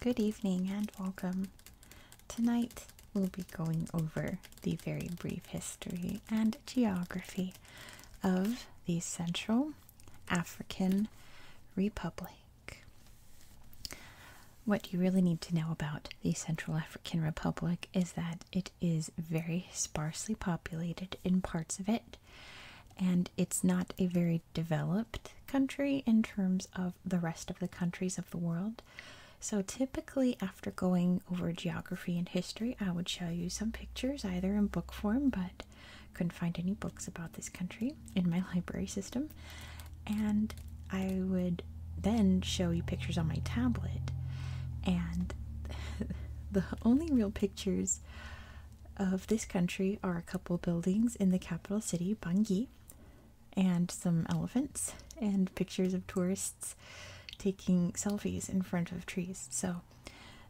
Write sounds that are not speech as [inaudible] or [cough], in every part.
Good evening and welcome. Tonight we'll be going over the very brief history and geography of the Central African Republic. What you really need to know about the Central African Republic is that it is very sparsely populated in parts of it, and it's not a very developed country in terms of the rest of the countries of the world. So, typically, after going over geography and history, I would show you some pictures either in book form, but couldn't find any books about this country in my [laughs] library system and I would then show you pictures on my tablet. And [laughs] the only real pictures of this country are a couple buildings in the capital city, Bangui, and some elephants, and pictures of tourists taking selfies in front of trees. So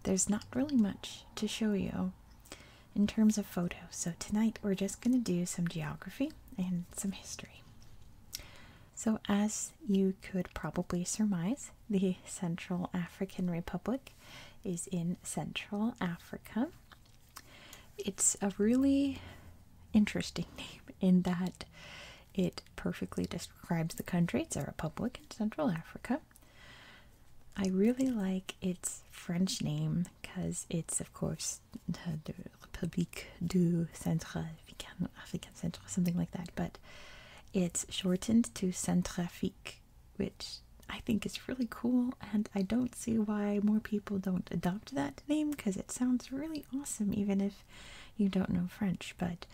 there's not really much to show you in terms of photos. So tonight we're just going to do some geography and some history. So, as you could probably surmise, the Central African Republic is in Central Africa. It's a really interesting [laughs] name in that it perfectly describes the country. It's a republic in Central Africa. I really like its French name because it's, of course, the Republic du Centre Africain, African Centre, something like that. But it's shortened to Centrafrique, which I think is really cool, and I don't see why more people don't adopt that name because it sounds really awesome, even if you don't know French. But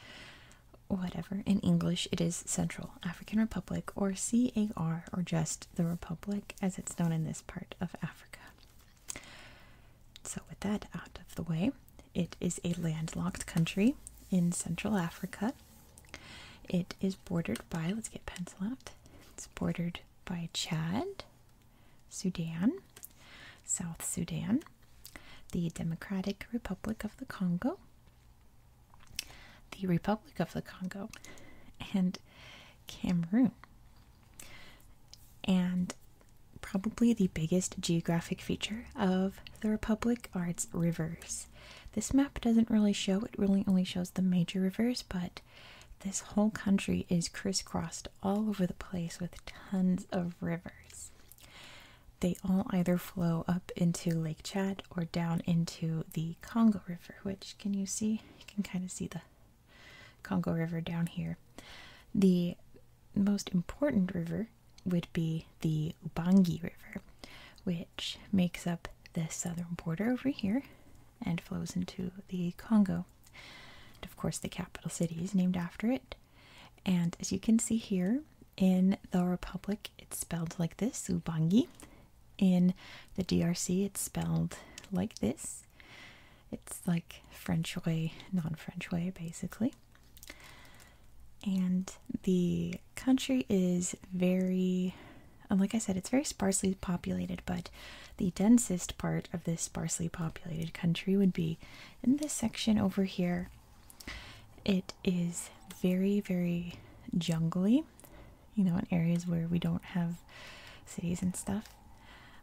whatever. In English, it is Central African Republic, or CAR, or just the Republic, as it's known in this part of Africa. So, with that out of the way, it is a landlocked country in Central Africa. It is bordered by, let's get pencil out, it's bordered by Chad, Sudan, South Sudan, the Democratic Republic of the Congo, the Republic of the Congo, and Cameroon. And probably the biggest geographic feature of the Republic are its rivers. This map doesn't really show, it really only shows the major rivers, but this whole country is crisscrossed all over the place with tons of rivers. They all either flow up into Lake Chad or down into the Congo River, which can you see? You can kind of see the Congo River down here. The most important river would be the Ubangi River, which makes up the southern border over here and flows into the Congo. And of course, the capital city is named after it. And as you can see here, in the Republic, it's spelled like this Ubangi. In the DRC, it's spelled like this it's like French way, non-French way basically. And the country is very like I said, it's very sparsely populated, but the densest part of this sparsely populated country would be in this section over here. It is very, very jungly, you know, in areas where we don't have cities and stuff.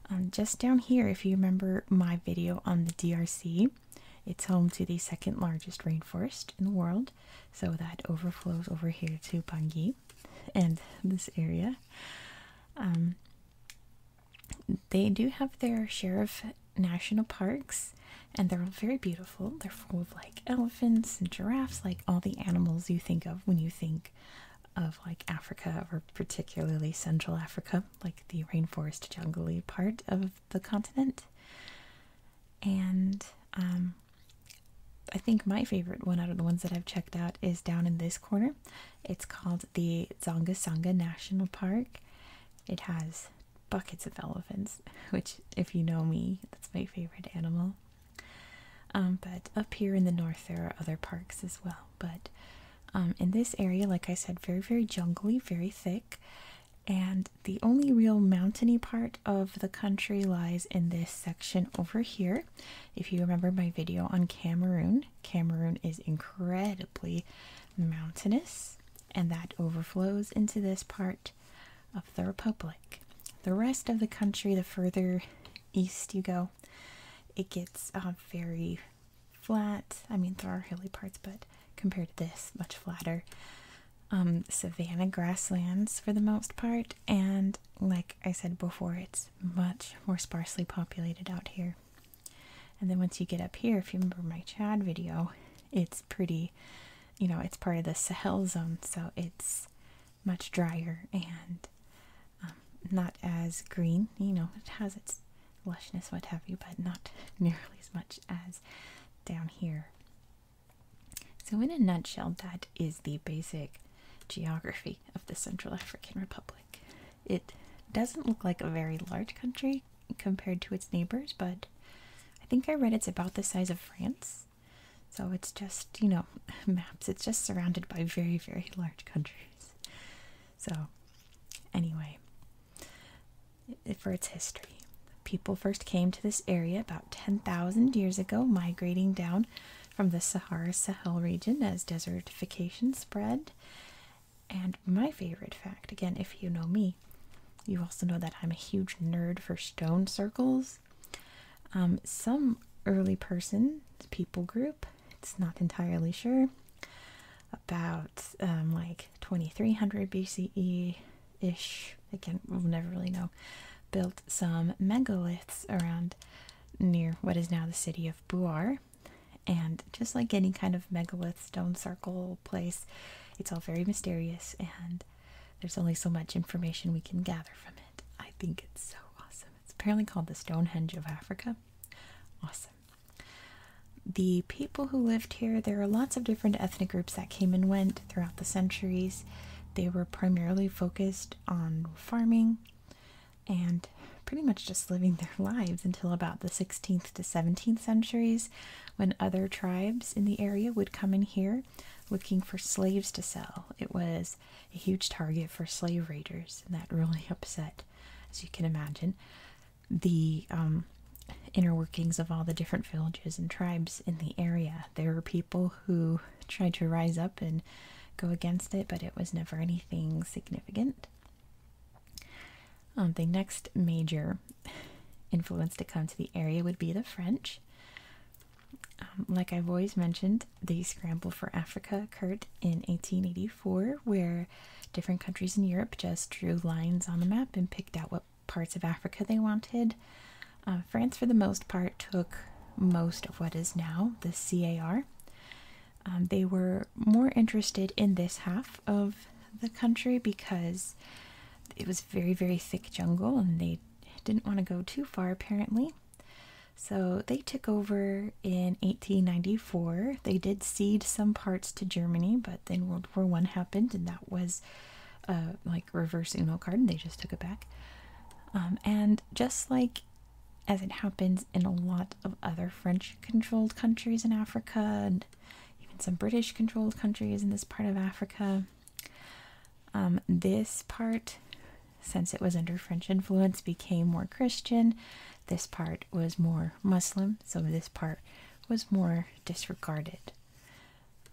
Um, just down here, if you remember my video on the DRC, it's home to the second largest rainforest in the world, so that overflows over here to Bangui and this area. Um, they do have their share of national parks, and they're all very beautiful. They're full of like elephants and giraffes, like all the animals you think of when you think of like Africa or particularly Central Africa, like the rainforest jungly part of the continent. And um, I think my favorite one out of the ones that I've checked out is down in this corner. It's called the Zonga National Park. It has buckets of elephants, [laughs] which, if you know me, that's my favorite animal. Um, but up here in the north, there are other parks as well. But um, in this area, like I said, very, very jungly, very thick. And the only real mountainy part of the country lies in this section over here. If you remember my video on Cameroon, Cameroon is incredibly mountainous, and that overflows into this part of the Republic. The rest of the country, the further east you go, it gets um, very flat. I mean, there are hilly parts, but compared to this, much flatter. Um, savanna grasslands for the most part, and like I said before, it's much more sparsely populated out here. And then once you get up here, if you remember my Chad video, it's pretty, you know, it's part of the Sahel zone, so it's much drier and um, not as green. You know, it has its lushness, what have you, but not [laughs] nearly as much as down here. So, in a nutshell, that is the basic geography of the Central African Republic. It doesn't look like a very large country compared to its neighbors, but I think I read it's about the size of France. So it's just, you know, [laughs] maps. It's just surrounded by very, very large countries. So, anyway, for its history, people first came to this area about 10,000 years ago, migrating down from the Sahara Sahel region as desertification spread. And my favorite fact again, if you know me, you also know that I'm a huge nerd for stone circles um, some early person, people group, it's not entirely sure, about um, like 2300 BCE ish, again, we'll never really know, built some megaliths around near what is now the city of Buar. And just like any kind of megalith stone circle place, it's all very mysterious and there's only so much information we can gather from it. I think it's so awesome. It's apparently called the Stonehenge of Africa. Awesome. The people who lived here, there are lots of different ethnic groups that came and went throughout the centuries. They were primarily focused on farming and pretty much just living their [laughs] lives until about the 16th to 17th centuries when other tribes in the area would come in here looking for slaves to sell. It was a huge target for slave raiders, and that really [laughs] upset, as you can imagine, the um, inner workings of all the different villages and tribes in the area. There were people who tried to rise up and go against it, but it was never anything significant. Um, the next major [laughs] influence to come to the area would be the French. Um, like I've always mentioned, the scramble for Africa occurred in 1884, where different countries in Europe just drew lines on the map and picked out what parts of Africa they wanted. Uh, France, for the most part, took most of what is now the CAR. Um, they were more interested in this half of the country because it was very, very thick jungle and they didn't want to go too far apparently. So they took over in 1894. They did cede some parts to Germany, but then World War One happened, and that was uh, like reverse Uno card, and they just took it back. Um, and just like as it happens in a lot of other French-controlled countries in Africa, and even some British-controlled countries in this part of Africa, um, this part, since it was under French influence, became more Christian. This part was more Muslim, so this part was more disregarded,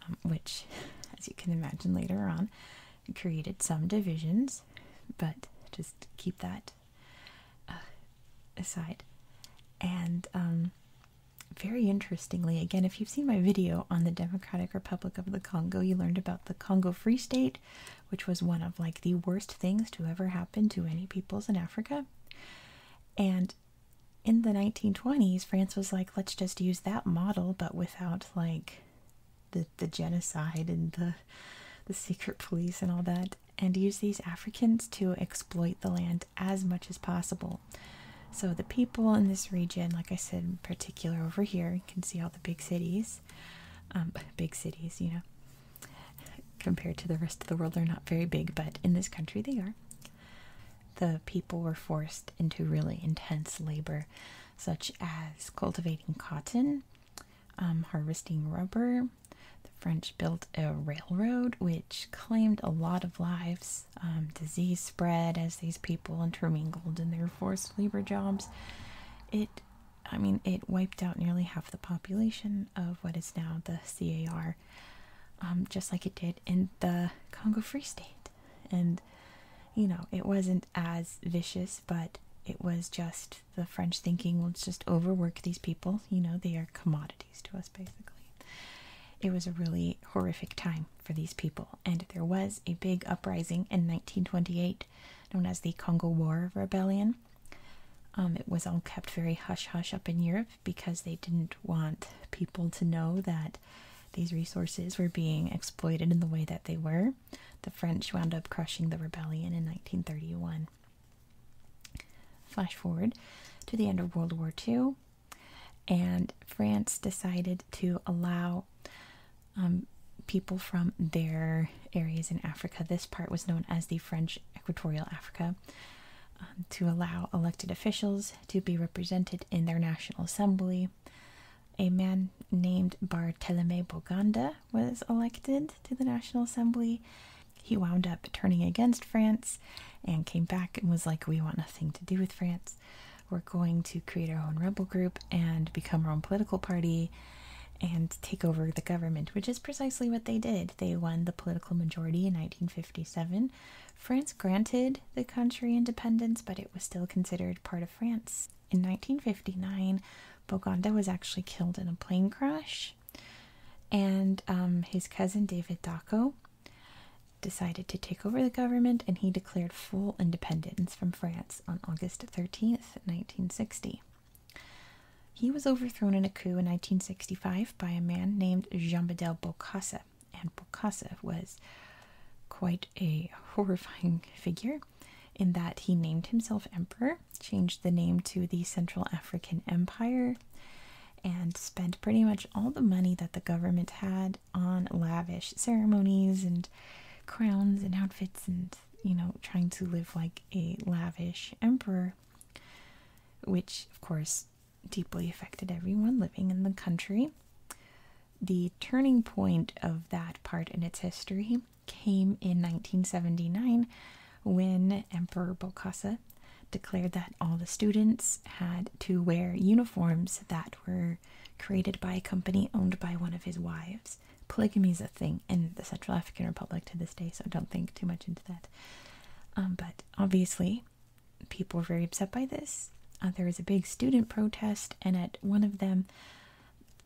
um, which, [laughs] as you can imagine later on, created some divisions. But just keep that uh, aside. And um, very interestingly, again, if you've seen my video on the demographic. Republic of the Congo, You learned about the Congo Free State, which was one of like the worst things to ever happen to any peoples in Africa. And in the 1920s, France was like, let's just use that model, but without like the the genocide and the the secret police and all that, and use these Africans to exploit the land as much as possible so the people in this region, like I said, in particular over here, you can see all the big cities. Um, [laughs] big cities, you know, [laughs] compared to the rest of the world, they're not very big, but in this country they are. The people were forced into really intense labor, such as cultivating cotton, um, harvesting rubber. The French built a railroad which claimed a lot of lives um, disease spread as these people intermingled in their forced labor jobs. It, I mean, it wiped out nearly half the population of what is now the CAR, um, just like it did in the Congo Free State. And, you know, it wasn't as vicious, but it was just the French thinking, let's just overwork these people. You know, they are commodities to us, basically. It was a really horrific time for these people, and there was a big uprising in 1928 known as the Congo War Rebellion. Um, it was all kept very hush hush up in Europe because they didn't want people to know that these resources were being exploited in the way that they were. The French wound up crushing the rebellion in 1931. Flash forward to the end of World War II and France decided to allow um, people from their areas in Africa. This part was known as the French Equatorial Africa. Um, to allow elected officials to be represented in their National Assembly. A man named Barthelemy Boganda was elected to the National Assembly. He wound up turning against France and came back and was like, We want nothing to do with France. We're going to create our own rebel group and become our own political party and take over the government, which is precisely what they did. They won the political majority in 1957. France granted the country independence, but it was still considered part of France. In 1959, Bogonda was actually killed in a plane crash, and um, his cousin David Dacko decided to take over the government and he declared full independence from France on August 13th, 1960. He was overthrown in a coup in 1965 by a man named Jean-Bedel Bokassa, and Bokassa was quite a horrifying [laughs] figure in that he named himself emperor, changed the name to the Central African Empire, and spent pretty much all the money that the government had on lavish ceremonies and crowns and outfits and you know trying to live like a lavish emperor which of course deeply affected everyone living in the country the turning point of that part in its history came in 1979 when emperor bokassa declared that all the students had to wear uniforms that were created by a company owned by one of his wives. Polygamy is a thing in the Central African Republic to this day, so don't think too much into that. Um, but obviously, people were very upset by this. Uh, there was a big student protest, and at one of them,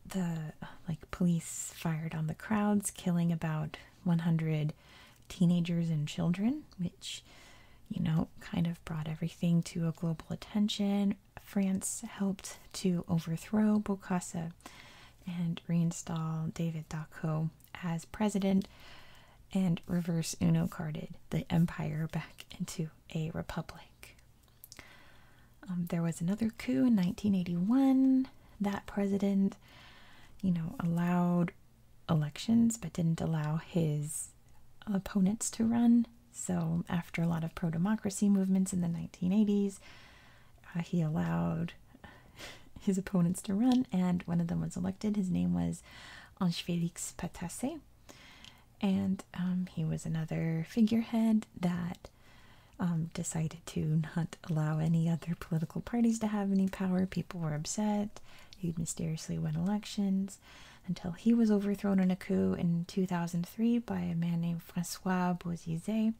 the like police fired on the crowds, killing about 100 teenagers and children, which, you know, kind of brought everything to a global attention. France helped to overthrow Bokassa and reinstall David Dacko as president and reverse Uno carded the empire back into a republic. Um, there was another coup in 1981. That president, you know, allowed elections but didn't allow his opponents to run. So, after a lot of pro democracy movements in the 1980s, uh, he allowed [laughs] his opponents to run, and one of them was elected. His name was Ange Felix Patasse, and um, he was another figurehead that um, decided to not allow any other political parties to have any power. People were upset. He'd mysteriously won elections until he was overthrown in a coup in 2003 by a man named Francois Bozizé.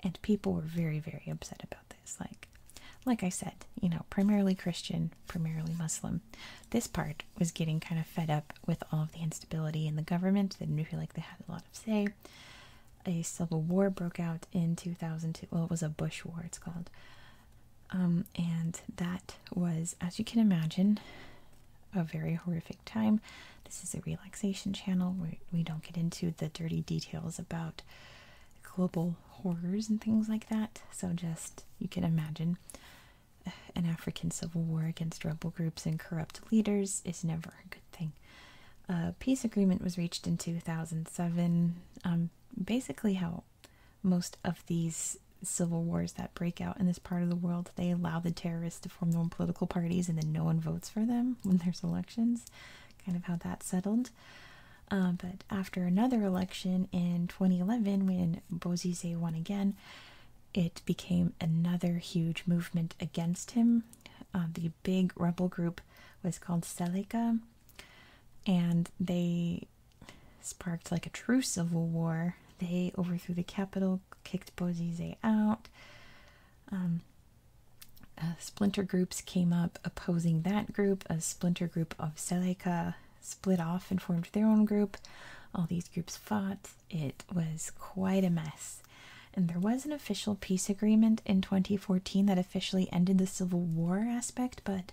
And people were very, very upset about this. Like, like I said, you know, primarily Christian, primarily Muslim. This part was getting kind of fed up with all of the instability in the government. They didn't feel like they had a lot of say. A civil war broke out in 2002. Well, it was a Bush war, it's called. Um, and that was, as you can imagine, a very horrific time. This is a relaxation channel we don't get into the dirty details about global horrors and things like that. So, just you can imagine an African civil war against rebel groups and corrupt leaders is never a good thing. A peace agreement was reached in 2007. Um, basically, how most of these civil wars that break out in this part of the world, they allow the terrorists to form their own political parties and then no one votes for them [laughs] when there's elections. Kind of how that settled. Uh, but after another election in 2011, when Bozizé won again, it became another huge movement against him. Um, the big rebel group was called Seleka, and they sparked like a true civil war. They overthrew the capital, kicked Bozizé out. Um, splinter groups came up opposing that group. A splinter group of Seleka split off and formed their own group. All these groups fought. It was quite a mess. And there was an official peace agreement in 2014 that officially ended the civil war aspect, but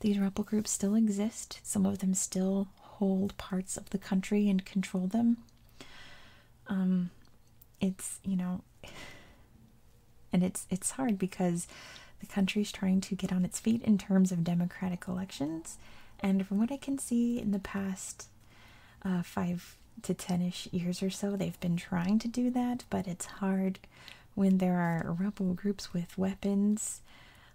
these rebel groups still exist. Some of them still hold parts of the country and control them. Um, it's you know, [sighs] and it's it's hard because the country is trying to get on its feet in terms of democratic elections, and from what I can see in the past uh, five to ten ish years or so, they've been trying to do that, but it's hard when there are rebel groups with weapons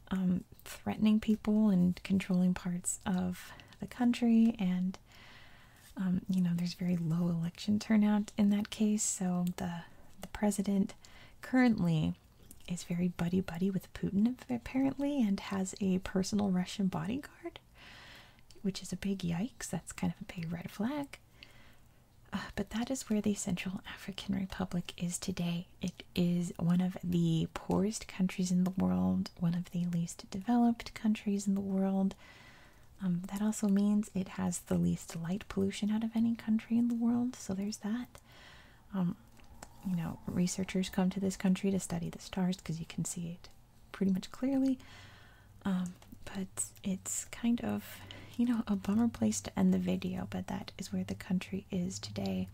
um, threatening people and controlling parts of the country, and um, you know, there's very low election turnout in that case, so the the president currently is very buddy buddy with Putin apparently and has a personal Russian bodyguard, which is a big yikes. That's kind of a big red flag. Uh, but that is where the Central African Republic is today. It is one of the poorest countries in the world, one of the least developed countries in the world. Um, that also means it has the least light pollution out of any country in the world, so there's that. Um, you know, researchers come to this country to study the stars because you can see it pretty much clearly. Um, but it's kind of, you know, a bummer place to end the video, but that is where the country is today.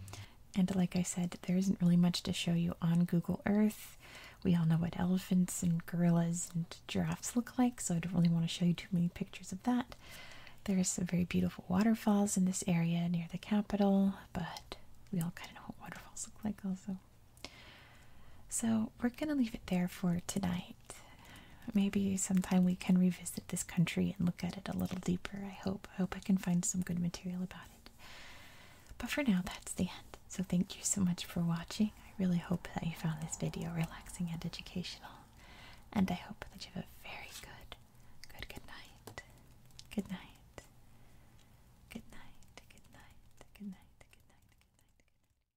And like I said, there isn't really much to show you on Google Earth. We all know what elephants and gorillas and giraffes look like, so I don't really want to show you too many pictures of that. There's some very beautiful waterfalls in this area near the capital, but we all kind of know what waterfalls look like also. So we're going to leave it there for tonight maybe sometime we can revisit this country and look at it a little deeper. I hope. I hope I can find some good material about it. But for now, that's the end. So thank you so much for watching. I really hope that you found this video relaxing and educational. And I hope that you have a very good, good, good night. Good night. Good night. Good night. Good night. Good night. Good night.